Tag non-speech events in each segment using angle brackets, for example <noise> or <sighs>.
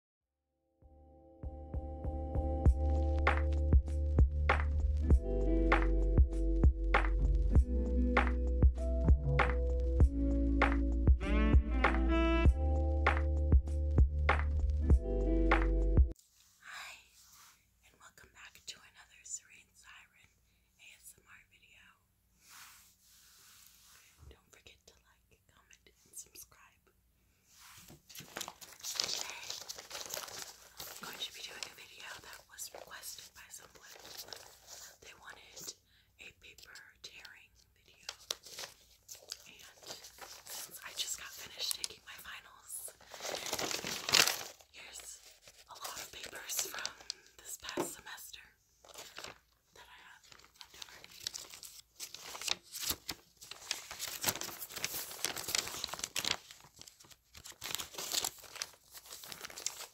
Hi, and welcome back to another Serene Siren ASMR video. Don't forget to like, comment, and subscribe. Today, I'm going to be doing a video that was requested by someone. They wanted a paper tearing video. And since I just got finished taking my finals, here's a lot of papers from this past semester. I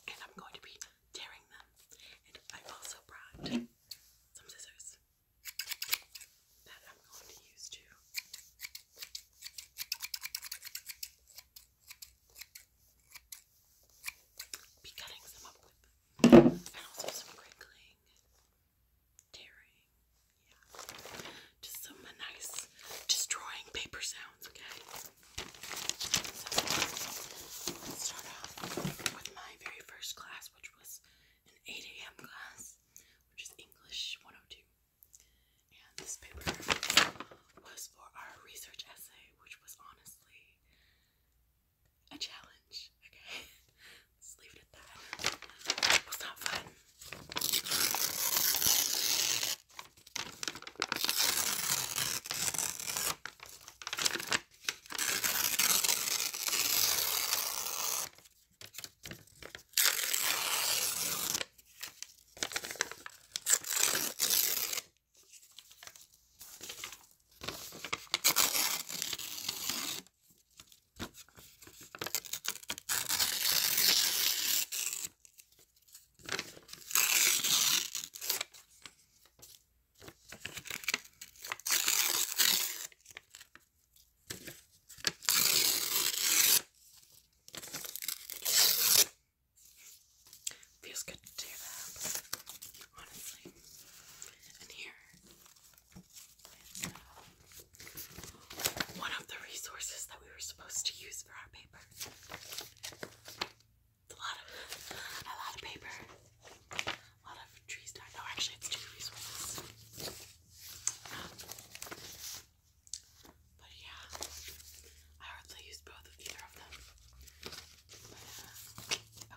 And I'm going to be tearing them. And I also brought some scissors that I'm going to use to be cutting some up with. And also some crinkling tearing, yeah. Just some nice destroying paper sounds, okay? start off with my very first class, which was an 8 a.m. class, which is English 102. And this paper was for our research essay, which was honestly a challenge. Okay, <laughs> let's leave it at that. That's not fun. Feels good to tear that up, honestly. And here and, um, one of the resources that we were supposed to use for our paper. It's a lot of a lot of paper. A lot of trees died. No, actually it's two resources. but yeah, I hardly used both of either of them. Uh,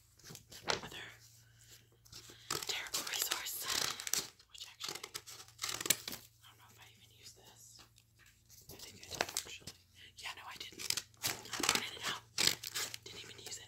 other terrible resource, which actually, I don't know if I even use this. I think I did actually. Yeah, no, I didn't. I wanted it out. Didn't even use it.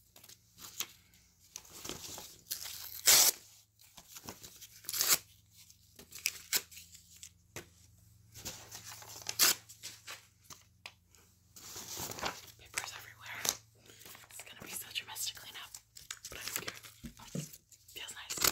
Papers everywhere. It's gonna be such a mess to clean up, but I don't care. Oh, feels nice.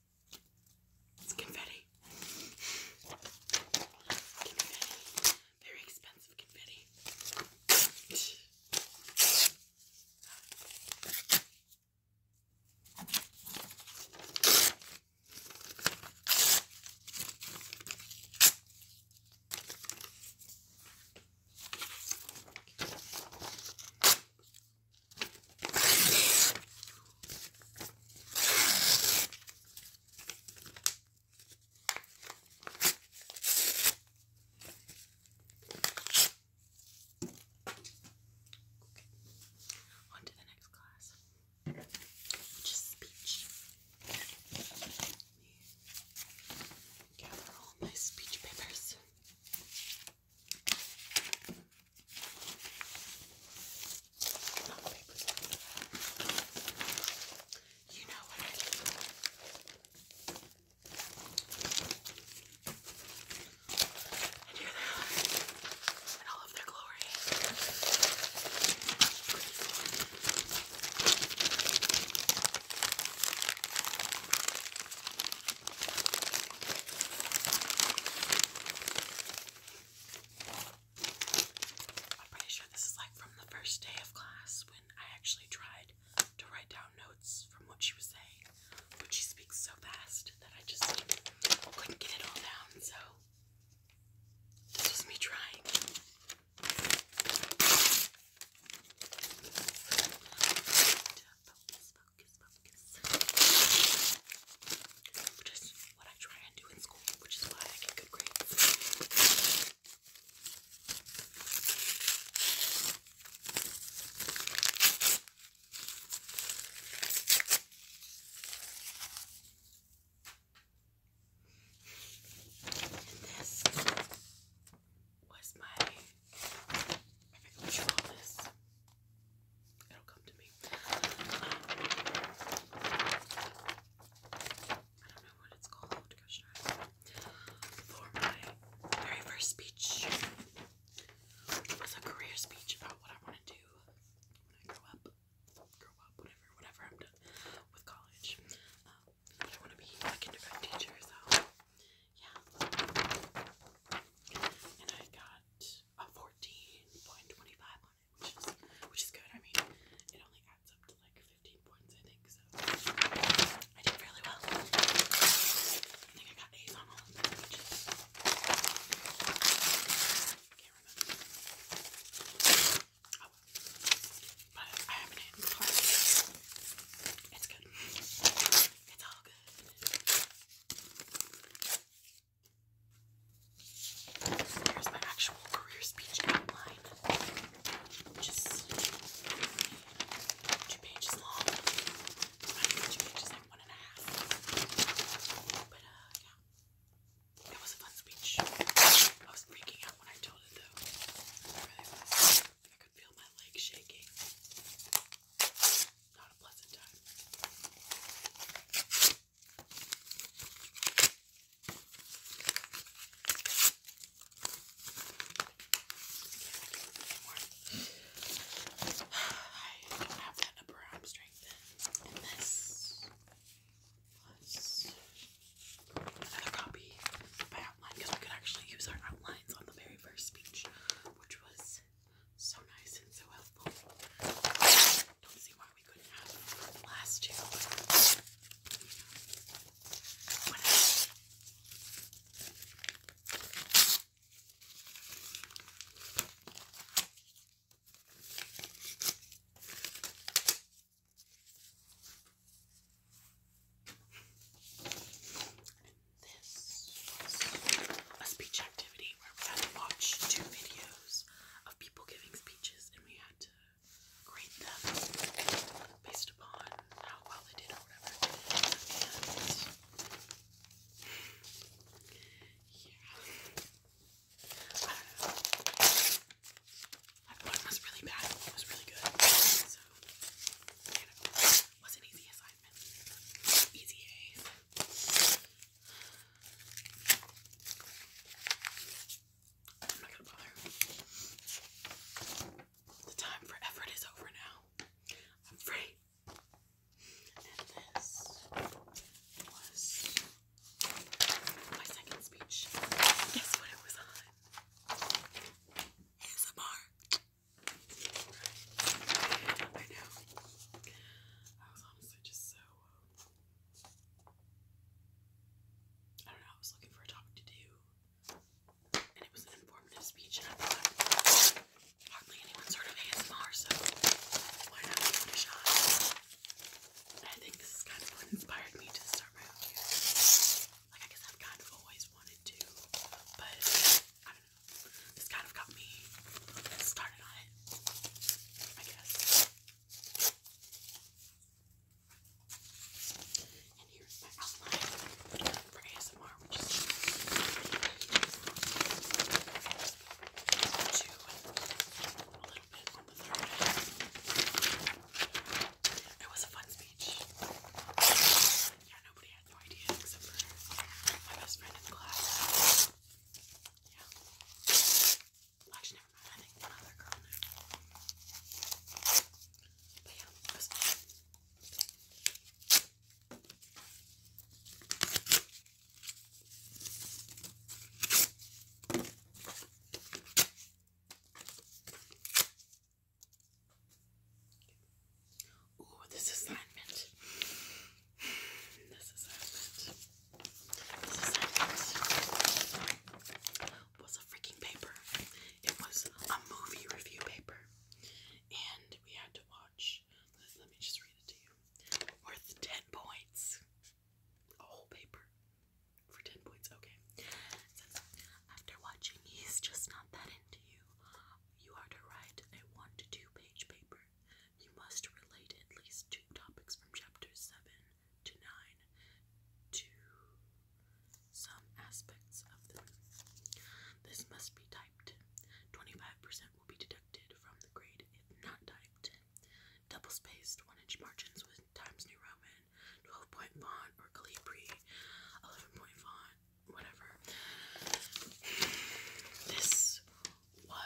It's confetti. Confetti. Very expensive confetti. On to the next class, which is speech. Gather all my speech papers. Not papers. You know what I do. I do that in all of their glory. I'm pretty sure this is like from the first day of class when I actually tried to write down notes from what she was saying, but she speaks so fast that I just couldn't get it all down, so this was me trying. Which is what I try and do in school, which is why I get good grades. this was my, I forgot what you call this. It'll come to me. I don't know what it's called. For my very first speech, it was a career speech about what I want to do when I grow up, grow up, whatever, whatever I'm done with college. I want to be a kindergarten teacher, so yeah. And I got a fourteen point twenty five on it, which is which is good. I mean, it only adds up to like fifteen points, I think. So I did really well. I think I got A's on all of them, can't remember. Oh but I have an end card. It's good. It's all good. So there's my actual career speech outline, which two pages long. two pages, like one and a half. But uh, yeah, it was a fun speech. I was freaking out when I told it though. I could feel my legs shaking not a pleasant time. I don't have that upper arm strength in. this another copy of my outline because we could actually use our outlines on the very first speech, which was so nice and so helpful. Don't see why we couldn't have the last two. this was a speech active activity where we had to watch two videos of people giving speeches and we had to grade them based upon how well they did or whatever. yeah. That one was really bad, one was really good. So you was an easy assignment. Easy A. I'm The time for effort is over now. I'm free. And this was my second speech. Guess what it was on? It's I know honestly just so. Um, I don't know, I was looking for a topic to do, and it was an informative speech, and I thought hardly anyone's heard of ASMR, so why not give it a shot? I think this kind of inspired me to start my own Like, I guess I've kind of always wanted to, but I don't know. This kind of got me started on it, I guess. And here's my outline for ASMR, which is two a little bit on the third It was a fun speech. Yeah, nobody had no idea except for my best friend in class. Yeah. Actually, never mind. I think one girl But yeah, Ooh, this assignment. This assignment. This assignment was a freaking paper. It was a movie review paper. And we had to watch, let, me just read it to you. Worth 10 points. A whole paper. For 10 points, okay. after watching He's Just Not That Into You, you are to write a 1 to 2 page paper you must relate at least two topics from chapters 7 to 9 to some aspects of them. This must be typed. 25% will be deducted from the grade if not typed. Double spaced, 1 inch margins with Times New Roman, 12 point font or Calibri, 11 point font, whatever. This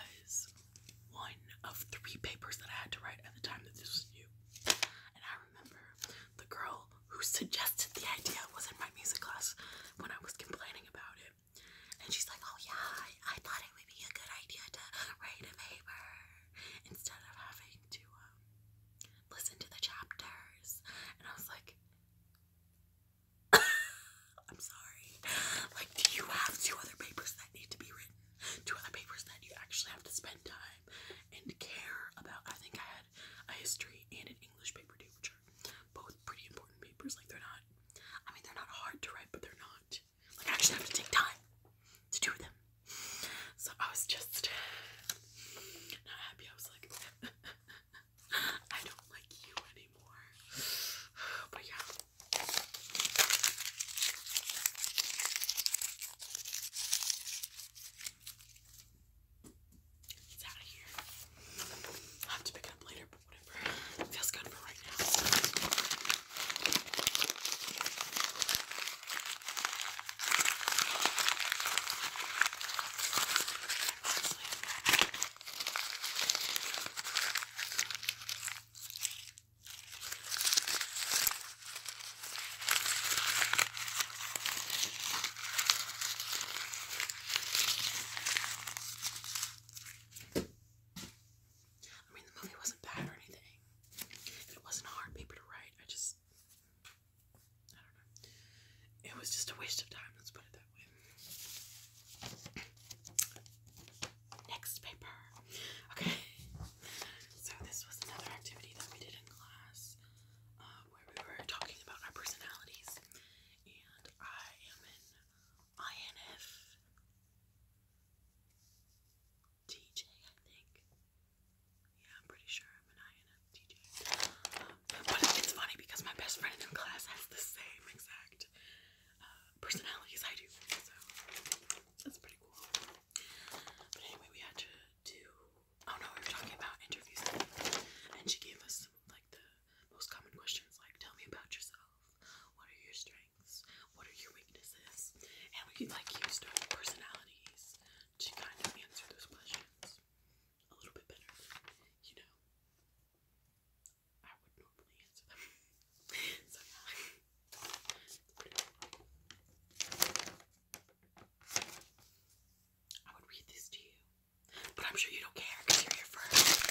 was one of three papers that I had to write at the time that this was new, And I remember the girl who suggested the idea was in my music class when I was complaining about it. And she's like, oh yeah, I, thought it would be a good idea to write a paper instead of having to um, listen to the chapters. And I was like, <laughs> I'm sorry. Like, do you have two other papers that need to be written? Two other papers that you actually have to spend time and care about. I think I had a history and an English paper too, which are both pretty important papers. Like, they're not, I mean, they're not hard to write, but they're not. Like, I actually have to take time to do them. So I was just <laughs> not happy. I was like, <laughs> I don't like you anymore. But yeah. It's out of here. have to pick it up later, but whatever. feels good for right now. I mean, the movie wasn't bad or anything. It wasn't a hard paper to write. I just, I don't know. It was just a waste of time. Let's put it that way that one. Next paper. Okay. <laughs> So this was another activity that we did in class uh, where we were talking about our personalities. And I am an INF TJ, I think. Yeah, I'm pretty sure I'm an INFTJ. But it's funny because my best friend in class has the same exact uh, personalities I do. So that's pretty cool. But anyway, we had to do. Oh no, we were talking about interviews, and she gave us like the most common questions, like tell me about yourself. What are your strengths? What are your weaknesses? And we like use different personalities to kind of answer those questions a little bit better, you know. I would normally answer them. <laughs> I would read this to you. But I'm sure you don't care because you're here first.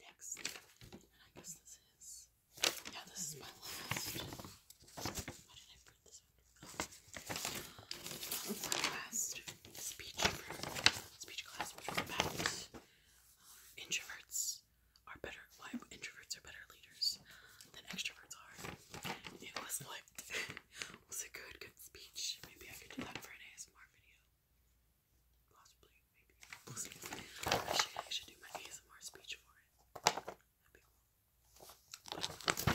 Next, and I guess this is yeah, this is my last. Why did I print this last speech for speech class, was about uh, introverts are better, why introverts are better leaders than extroverts are. It was like, it <laughs> was a good, good speech. Maybe I could do that for an ASMR video. Possibly, maybe. We'll see. I should, I should do my ASMR speech for it. Um,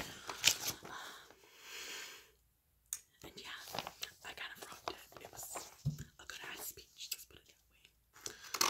and yeah, I kind of rocked it. It was a good ass speech, let's put it that way.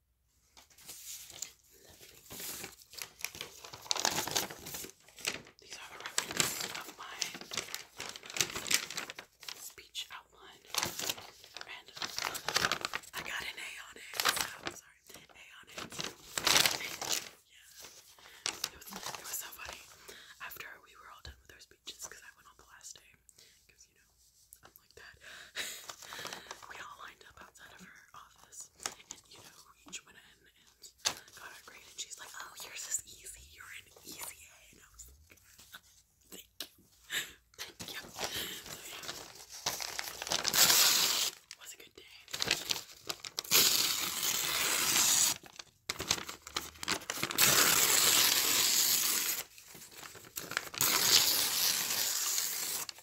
Lovely. These are the references of my speech outline. I got an A on it. sorry, A on it. Yeah. It was, it was so funny. After we were all done with our speeches, because I went on the last day, because you I'm like that. <laughs> we all lined up outside of her office, and you know, each went in and got our grade, and she's like, "Oh, yours is easy. You're an easy A," and I was like, "Thank you, thank you." So yeah, was a good day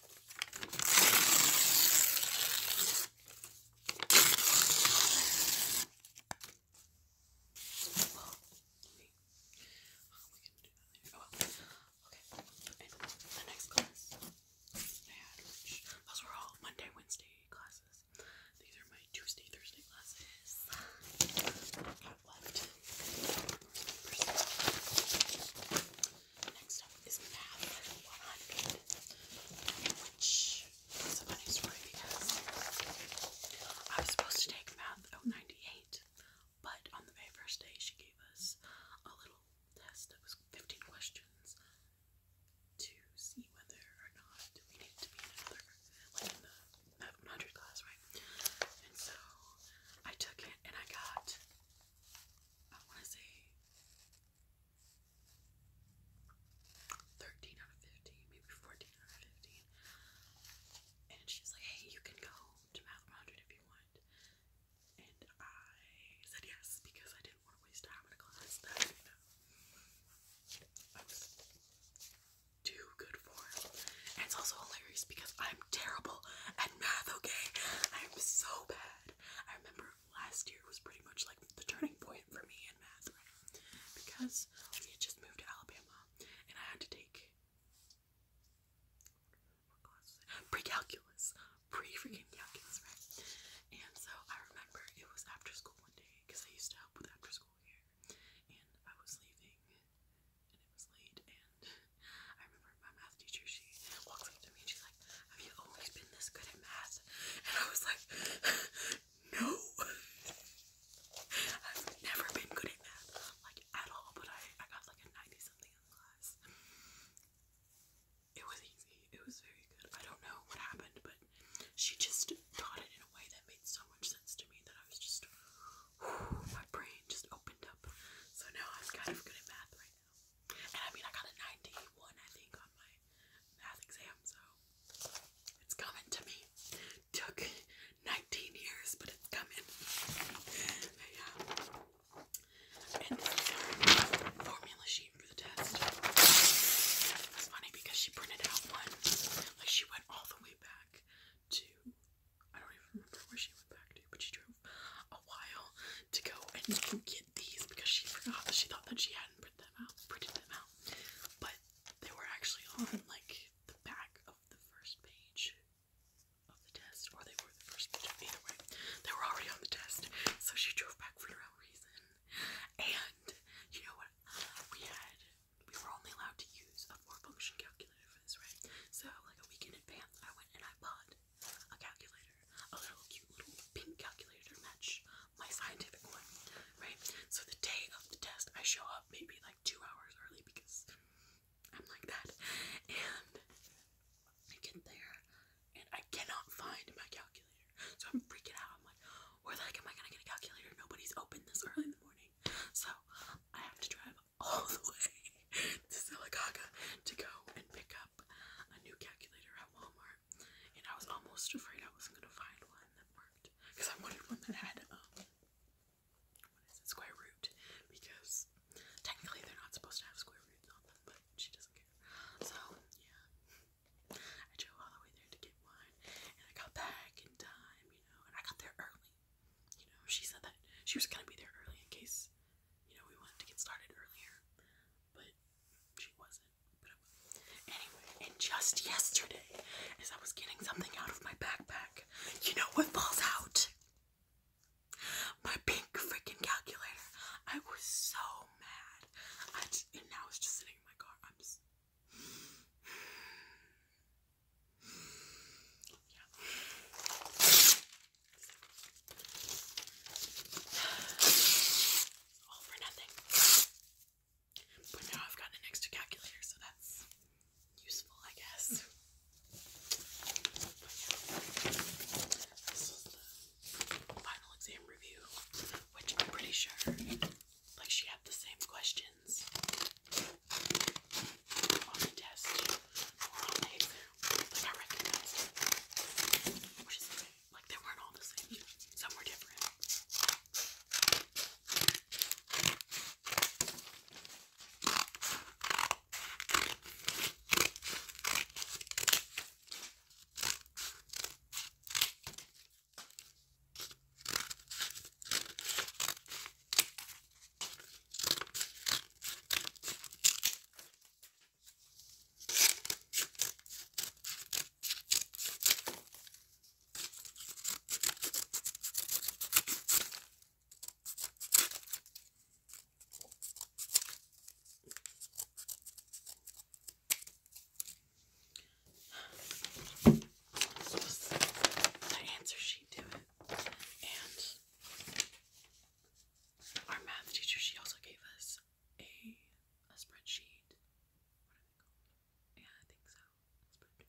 the next class I had, which those were all Monday, Wednesday classes. These are my Tuesday, Thursday classes. I Next up is Path 100, which is a funny story because I was supposed to take Math 098, but on the very first day she gave us a little test that was 15 questions to see whether or not we need to be in another, like in the 100 class, right? And so I took it and I got I want to say 13 out of 15, maybe 14 out of 15. And she's like, hey, you can go to Math 100 if you want. And I said yes because I didn't want to waste time in a class that I was too good for. And it's also hilarious because I'm terrible at math, okay? I'm so bad. I remember last year was pretty much like the turning point for me in math, right? Because we had just moved to Alabama and I had to take pre-calculus, pre-freaking calculus, right? And so I remember it was after school one day because I used to help with after school here, and I was leaving and it was late and <laughs> I remember my math teacher, she walks up to me and she's like, have you always been this good at math? And I was like, <laughs> no. <laughs> I've never been good at math, like at all, but I, I got like a 90 something in class. It was easy. It was very good. I don't know what happened, but she just taught it in a way that made so much sense to me that I was just <sighs> my brain just opened up. So now I'm kind of good at math right now. And I mean, I got a 91, I think, on my math exam, so it's coming to me. Took 19 years, but it's coming. yeah. formula sheet for the test. It's funny because she printed out one, like, she went all the way back to I don't even remember where she went back to, but she drove a while to go and <laughs> get these because she forgot. that She thought that she hadn't put them out, printed them out, but they were actually on like the back of the first page of the test, or they were the first page. Either way, they were already on the test, so she drove back for no reason. And you know what? We had we were only allowed to use a four function calculator so, like a week in advance, I went and I bought a calculator, a little cute little pink calculator to match my scientific one, right? So, the day of the test, I show up maybe like two hours early because I'm like that, and I get there and I cannot find my calculator, so I'm freaking out. I'm like, where the heck am I gonna get a calculator? Nobody's open this early in the morning, so I have to drive all the way to Silicaga to go and pick up a new calculator at Walmart. And I was almost afraid I wasn't gonna find one that worked. Because I wanted one that had um, square root? Because technically they're not supposed to have square roots on them, but she doesn't care. So yeah. I drove all the way there to get one and I got back in time, you know, I got there early you know, she said that she was gonna be there early in case, you know, we wanted to get started earlier, but she wasn't. But I was. Anyway, and just yesterday, as I was getting something out of my backpack, you know what falls out? My pink freaking calculator. I was so mad. and now it's just sitting in my car. I'm just. All for nothing. But now I've got an extra calculator, so that's useful, I guess. Hmm. final exam review, which I'm pretty sure, like, she had the same questions on the test or on these, like I recognized it. Which is good. Like they weren't all the same. Some were different. So, my answer sheet to it. And our math teacher, she also gave us a a spreadsheet. Yeah, I think so. A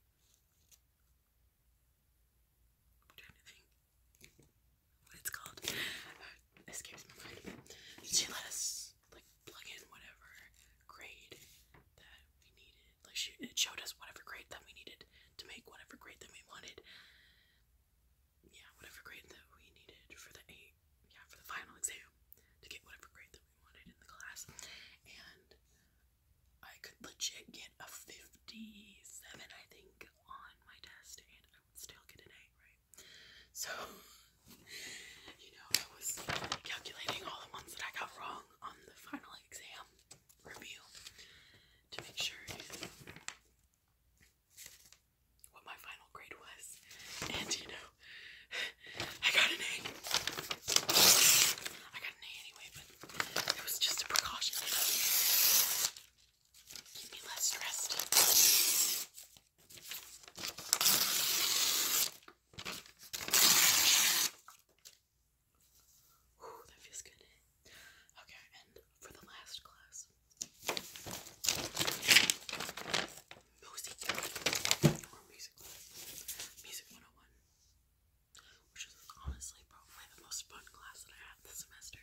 I'm trying to think what it's called. Uh, escapes my mind. She let us like plug in whatever grade that we needed. Like she, it showed us whatever grade that we needed to make whatever grade that we wanted. Yeah, whatever grade that we needed for the eight, yeah, for the final exam to get whatever grade that we wanted in the class. And I could legit get a fifty-seven, I think, on my test, and I would still get an A, right? So. <laughs> You know, I was calculating all the ones that I got wrong on the final exam, review to make sure what my final grade was. And you know, I got an A. I got an A anyway, but it was just a precaution. Keep me less stressed. Ooh, that feels good. Okay, and for the last class, music or music music 101, which is honestly probably the most fun class that I had this semester.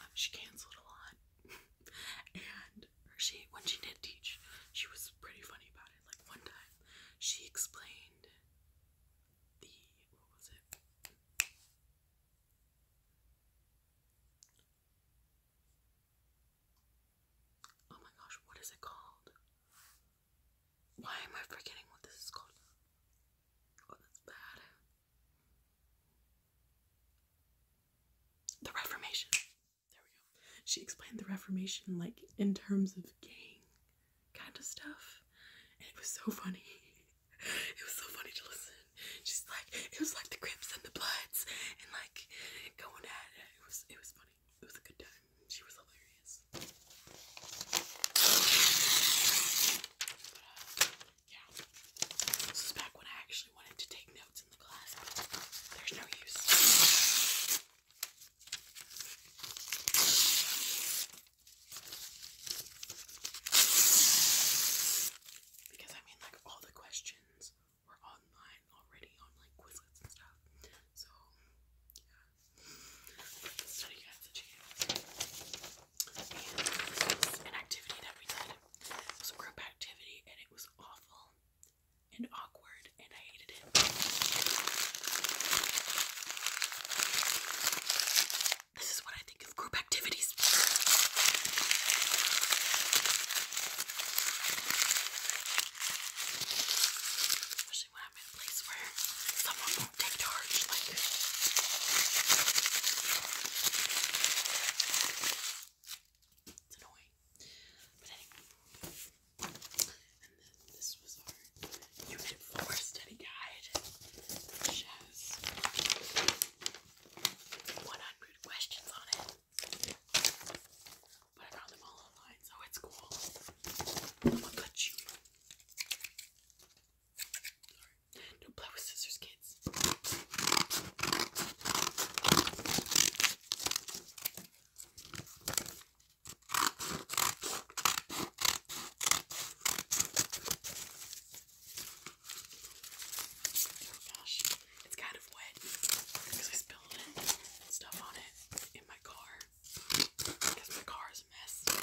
Um, she canceled a lot, <laughs> and she when she did teach, she was pretty funny about it. Like one time, she explained Oh my gosh, what is it called? Why am I forgetting what this is called? Oh, that's bad. The Reformation. There we go. She explained the Reformation like in terms of gang kind of stuff. And it was so funny. <laughs> It was so funny to listen. Just like it was like the Crips and the Bloods and like going at it. It was it was funny. It was a good time. She was hilarious. Uh, yeah. This is back when I actually wanted to take notes in the class, there's no use. Because I mean, like, all the questions were online already on like Quizlets and stuff. So, yeah. So, you And an activity that we did. was a group activity and it was awful and awkward and I hated it. This is what I think of group activities. Especially when I'm in a place where someone won't take charge, like it's annoying this was our unit 4 study guide, which has 100 questions on it. But I found them all online, so it's cool. Look at you. Sorry. do play with scissors, kids. Oh gosh, it's kind of wet because I spilled it and stuff on it in my car because my car is a mess.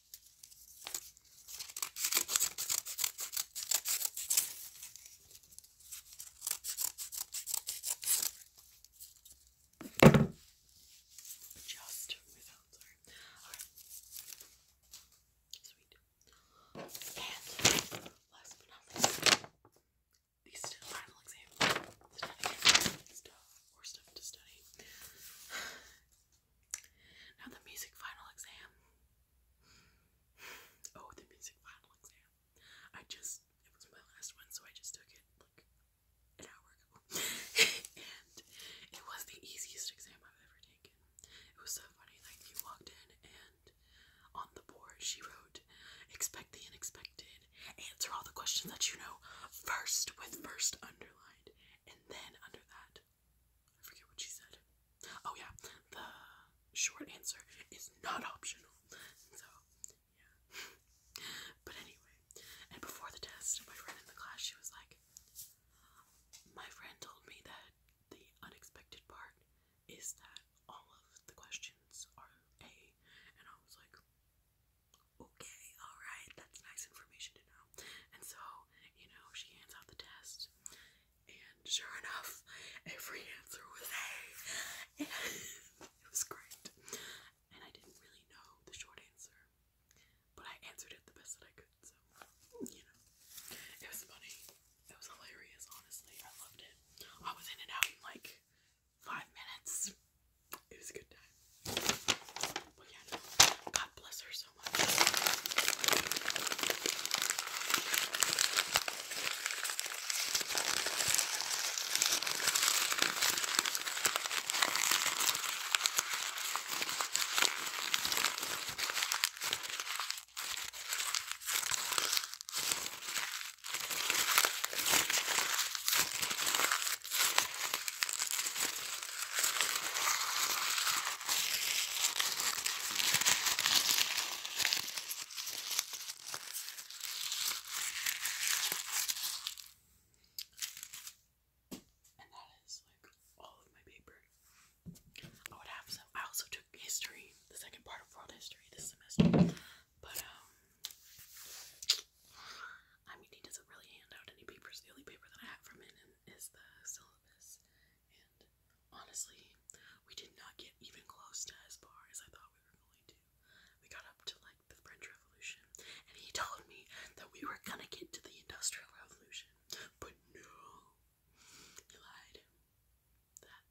Just without, sorry. Sweet. And last but not least, these final exam stuff or stuff to study. Now the music final exam. <sighs> Oh, the music final exam. I just, it was my last one, so I just took it like an hour ago. <laughs> and it was the easiest exam I've ever taken. It was so funny, like, you walked in and on the board she wrote, expect the unexpected, answer all the questions that you know first with first underlined, and then under that, I forget what she said. Oh yeah, the short answer is not optional. So yeah. but anyway, and before the test, my friend in the class, she was like, my friend told me that the unexpected part is that all of the questions are A, and I was like, okay, alright, that's nice information to know. And so you know, she hands out the test, and sure enough, every answer was A. <laughs> it was great. And I didn't really know the short answer, but I answered it the best that I could, so, you know. It was funny. It was hilarious, honestly. I loved it. I was in and out in like five minutes. It was a good time. But yeah, no, God bless her so much. And that is like all of my paper. I would have some. I also took history, the second part of world history this semester. But um I mean he doesn't really hand out any papers. The only paper that I have from it is the syllabus, and honestly, we did not get even close to as far as I thought we were going to. We got up to like the French Revolution, and he told me that we were gonna get to the Industrial Revolution, but no, he lied. That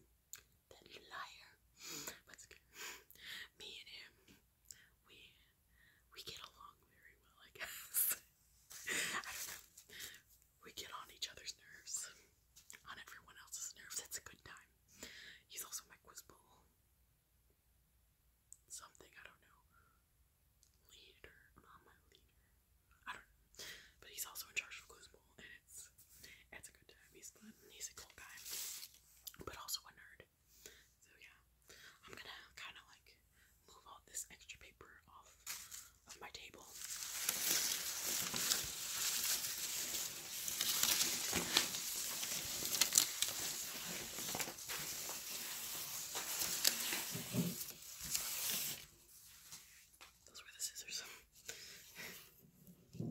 that liar. But me and him, we we get along very well, I guess. <laughs> I don't know. We get on each other's nerves, on everyone else's nerves. It's a good time. He's also my quiz bowl. Something, I don't know. Leader, not my leader. I don't But he's also in charge of quiz bowl, and it's it's a good time. He's fun. He's a cool guy, but also a nerd. So yeah, I'm gonna kind of like move all this extra paper off of my table. Those were the scissors. <laughs>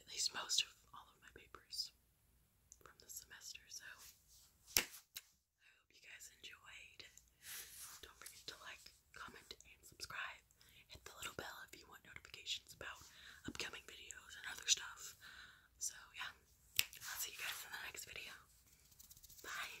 at least most of all of my papers from the semester. So I hope you guys enjoyed. Don't forget to like, comment, and subscribe. Hit the little bell if you want notifications about upcoming videos and other stuff. So, yeah, I'll see you guys in the next video. Bye.